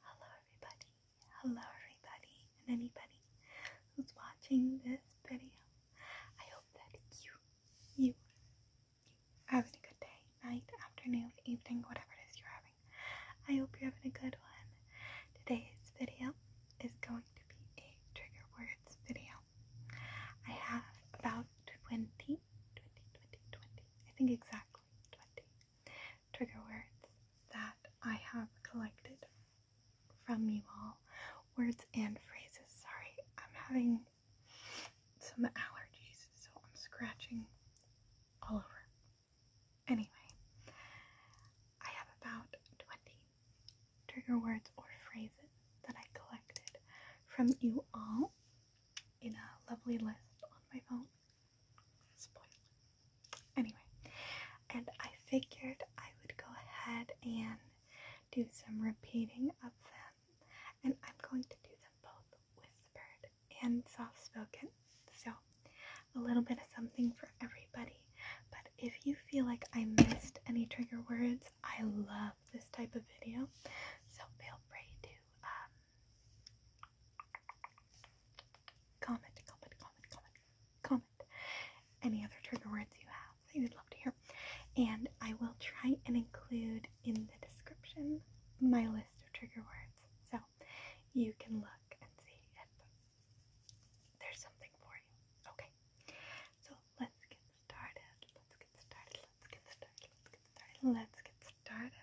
Hello, everybody. Hello, everybody, and anybody who's watching this video. I hope that you, you, you having a good day, night, afternoon, evening, whatever it is you're having. I hope you're having a good one. Today's video is going to be a trigger words video. I have about 20, 20, I think exactly 20 trigger words that I have collected from you all. Words and phrases. Sorry, I'm having some allergies, so I'm scratching all over. Anyway, I have about 20 trigger words or phrases that I collected from you all in a lovely list on my phone. Anyway, and I figured I would go ahead and do some repeating of them, and I'm going to do them both whispered and soft spoken. So, a little bit of something for everybody. But if you feel like I missed any trigger words, I love this type of video, so feel free to um, Comment, comment, comment, comment, comment. Any other trigger words you have that you'd love to hear. And I will try and include in the description my list of trigger words. So you can look and see if there's something for you. Okay. So let's get started. Let's get started. Let's get started. Let's get started. Let's get started. Let's get started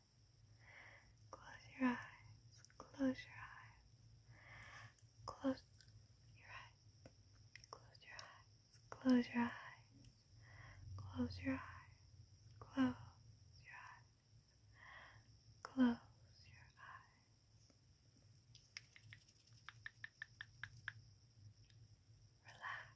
Close your eyes. Close your eyes. Close your eyes. Close your eyes. Close your eyes. Close your eyes. Close your eyes. Relax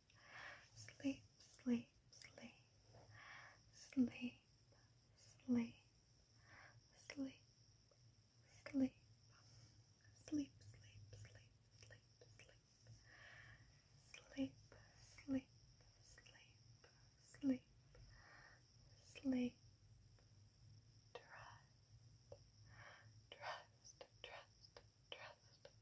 sleep, sleep, sleep, sleep, sleep, sleep, sleep, sleep, sleep, sleep, sleep, sleep, sleep, sleep, sleep, sleep, trust, trust, trust, trust,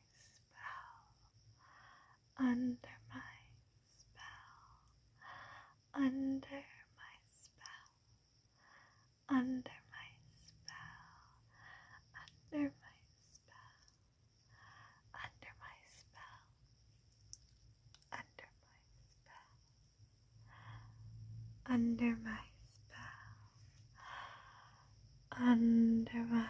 under my spell, under my spell, under my spell, under my spell, under my spell, under my spell, under my spell, under my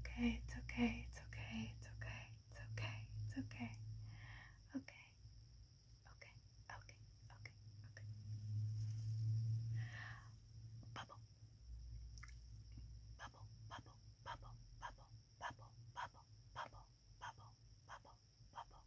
okay, it's okay, it's okay, it's okay, it's okay, it's okay. Okay, okay, okay, okay, okay. Bubble, bubble, bubble, bubble, bubble, bubble, bubble, bubble, bubble, bubble, bubble, bubble, bubble.